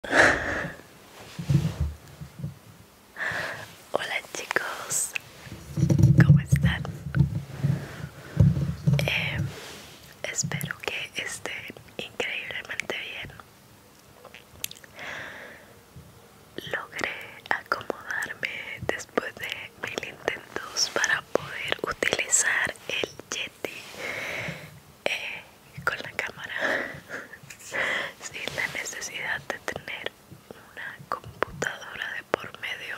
Hola chicos, ¿cómo están? Em, espero que estén increíblemente bien. Logré acomodarme después de mil intentos para poder utilizar el Yeti eh, con la cámara sin la necesidad de tener una computadora de por medio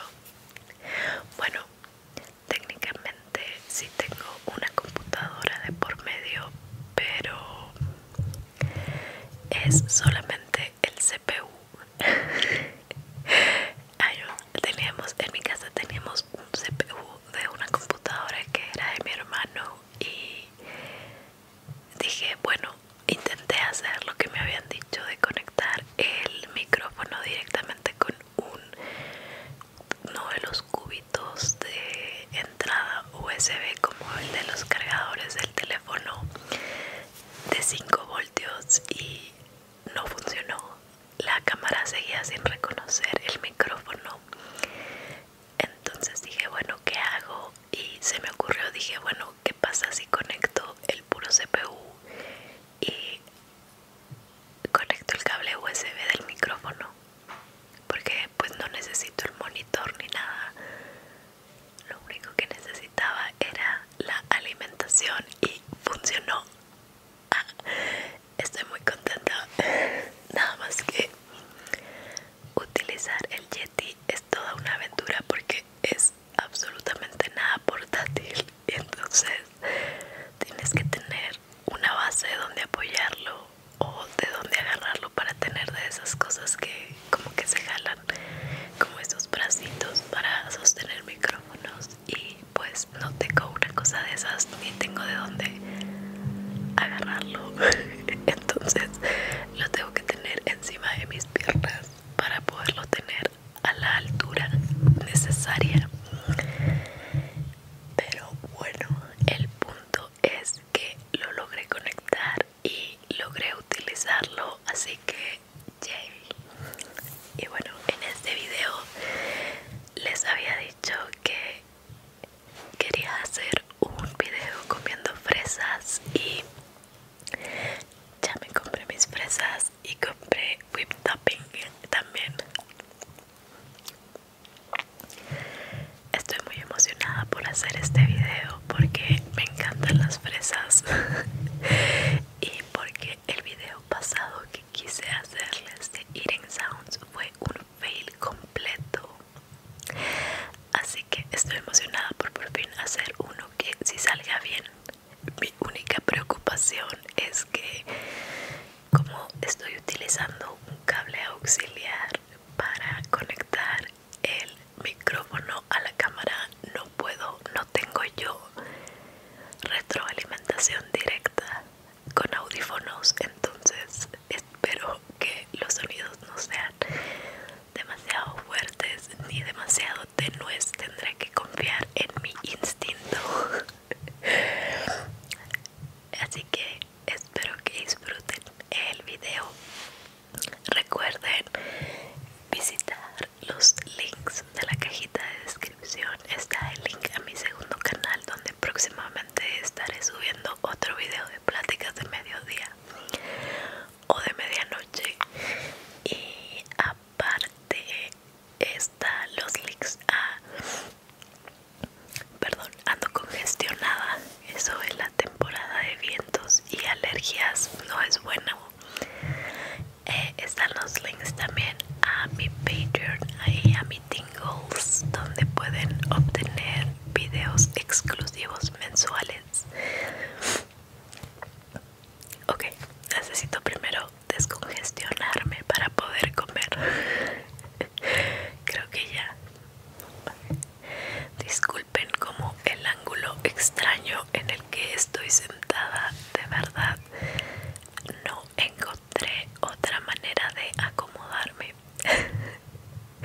bueno técnicamente sí tengo una computadora de por medio pero es solamente el CPU teníamos en mi casa teníamos un CPU de una computadora que era de mi hermano y dije, bueno, intenté hacer lo que me habían dicho de conectar el micrófono directamente con un, uno de los cubitos de entrada USB como el de los cargadores del teléfono de 5 voltios y no funcionó la cámara seguía sin reconocer el micrófono entonces dije, bueno, ¿qué hago? Y se me ocurrió, dije, bueno, ¿qué pasa si conecto el puro CPU y conecto el cable USB del micrófono? Porque pues no necesito el monitor ni nada. Lo único que necesitaba era la alimentación y funcionó. Ah, estoy muy contenta nada más que utilizar el Yeti es toda una aventura porque es absolutamente nada portátil y entonces tienes que tener una base de donde apoyarlo o de donde agarrarlo para tener de esas cosas que como que se jalan como esos bracitos para sostener micrófonos y pues pues, no tengo una cosa de esas ni tengo de dónde agarrarlo entonces lo tengo que tener encima de mis piernas para poderlo tener a la altura necesaria pero bueno el punto es que lo logré conectar y logré utilizarlo así que y bueno en este video les había dicho que quería hacer un video comiendo fresas y ya me compré mis fresas y compré whip topping también estoy muy emocionada por hacer este video porque me encantan las fresas y porque el video pasado que quise hacerles de eating sounds fue un fail completo así que estoy emocionada por por fin hacer uno que si salga bien mi única preocupación es que como estoy utilizando un cable auxiliar para conectar el micrófono a la cámara no puedo no tengo yo retroalimentación directa con audífonos entonces espero que los sonidos no sean demasiado fuertes ni demasiado tenues tendré que confiar en mi instinto así que espero que disfruten el video recuerden visitar los links de la cajita de descripción está el link a mi segundo canal donde próximamente estaré subiendo otro video de pláticas de mediodía o de medianoche y aparte está los links a perdón ando congestionada eso es la temporada de vientos y alergias no es bueno eh, están los links también a mi patreon y a mi donde pueden obtener videos exclusivos mensuales. Ok, necesito primero descongestionarme para poder comer. Creo que ya. Disculpen como el ángulo extraño en el que estoy sentada, de verdad no encontré otra manera de acomodarme.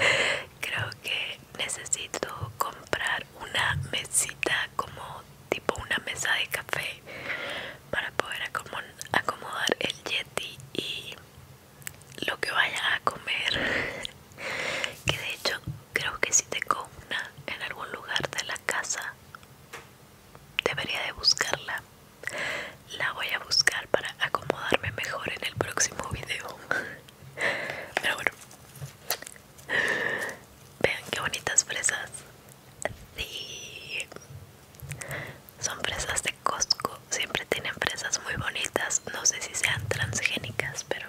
Creo que necesito comprar una mesita como tipo una mesa de café para poder acomodar el yeti y lo que vaya a comer. que de hecho creo que si tengo una en algún lugar de la casa debería de buscarla la voy a buscar para acomodarme mejor en el próximo video. Pero bueno. Vean qué bonitas fresas. Son fresas de Costco. Siempre tienen fresas muy bonitas. No sé si sean transgénicas, pero...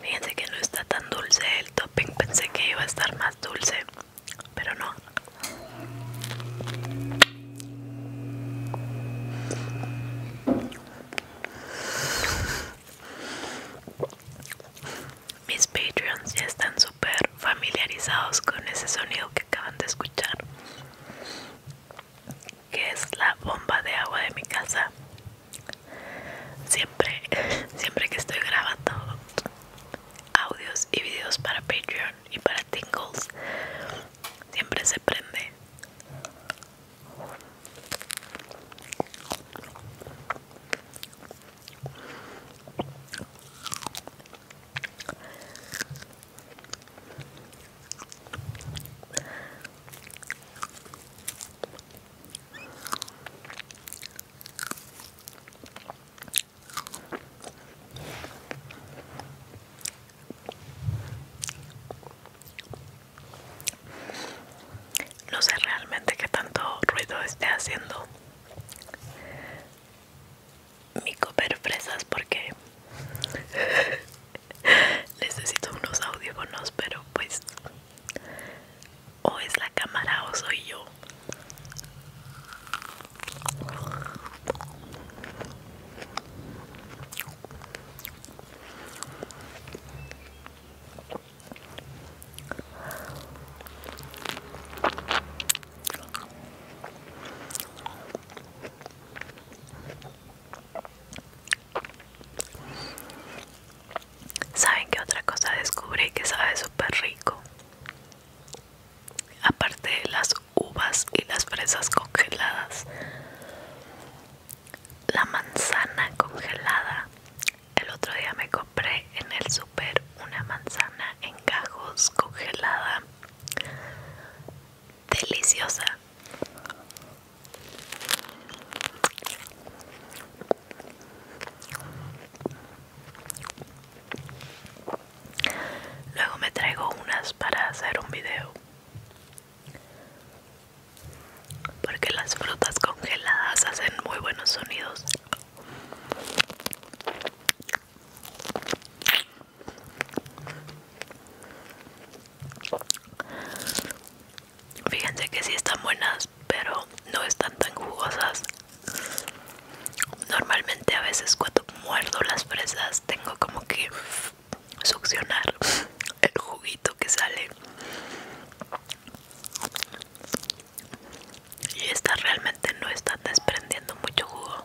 Fíjense que no está tan dulce el topping, pensé que iba a estar más dulce, pero no. Mis Patreons ya están súper familiarizados con ese sonido que acaban de escuchar, que es la bomba de agua de mi casa. Siempre, siempre que estoy grabando audios y videos para Patreon y para Tingles, siempre se prende. No sé realmente qué tanto ruido esté haciendo mi fresas porque necesito unos audífonos pero pues o es la cámara o soy yo ¿Saben qué otra cosa descubrí que sabe súper rico? Aparte de las uvas y las fresas congeladas, la manzana congelada. El otro día me compré en el super una manzana en cajos congelada. Deliciosa. Luego me traigo unas para hacer un video. Porque las frutas congeladas hacen muy buenos sonidos. Fíjense que sí están buenas, pero no están tan jugosas. Normalmente a veces cuando muerdo las fresas tengo como que succionar el juguito que sale. Y estas realmente no están desprendiendo mucho jugo.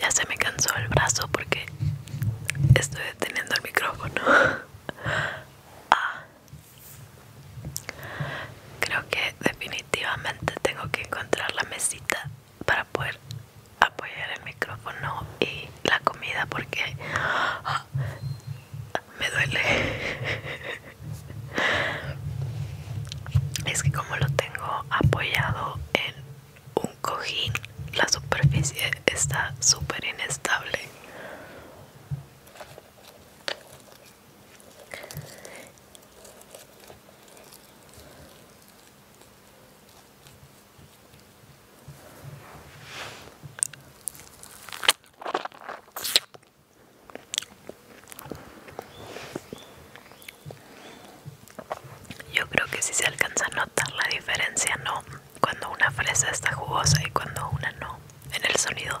Ya se me cansó el brazo porque estoy deteniendo el micrófono. Ah. Creo que definitivamente tengo que encontrar la mesita para poder apoyar el micrófono y la comida porque ah, me duele. Es que como lo tengo apoyado en un cojín, la superficie está súper inestable. Yo creo que si se alcanza a notar la diferencia, ¿no? Cuando una fresa está jugosa y cuando una no, en el sonido.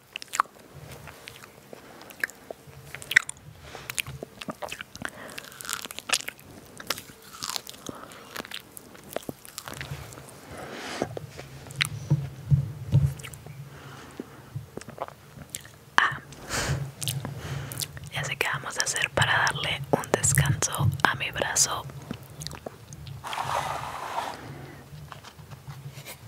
Ah, ya sé qué vamos a hacer para darle un descanso a mi brazo.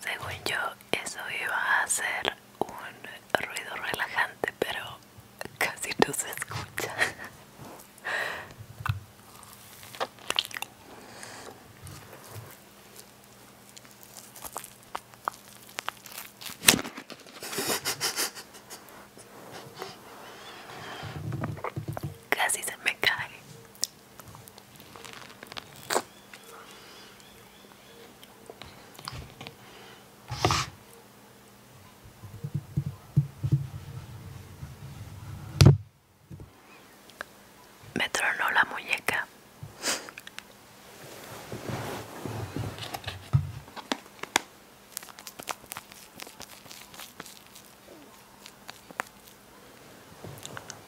Según yo, eso iba a ser un ruido relajante, pero casi no se escucha. Casi se me cae me tronó la muñeca.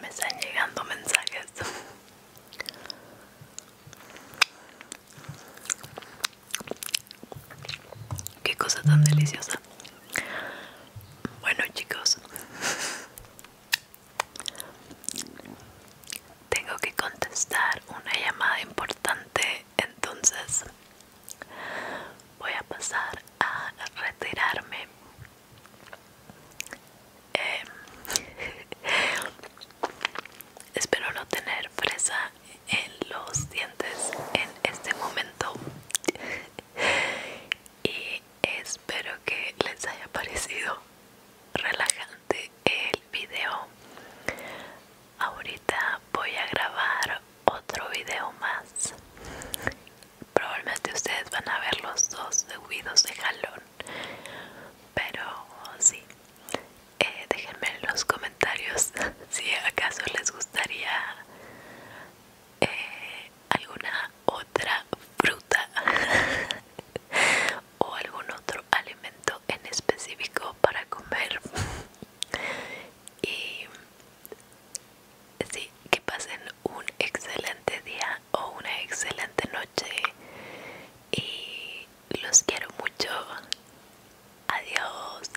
Me están llegando mensajes. Qué cosa tan deliciosa. Bueno, chicos. Tengo que contestar una llamada importante, entonces voy a pasar a retirarme. Em, espero no tener fresa en los dientes en este momento. y espero que les haya parecido relajante el video ahorita voy a grabar otro video más probablemente ustedes van a ver los dos seguidos de jalón pero sí eh, déjenme en los comentarios si acaso les gustaría eh, alguna otra fruta o algún otro alimento en específico para comer y sí que pasen un excelente día o una excelente noche y los quiero mucho adiós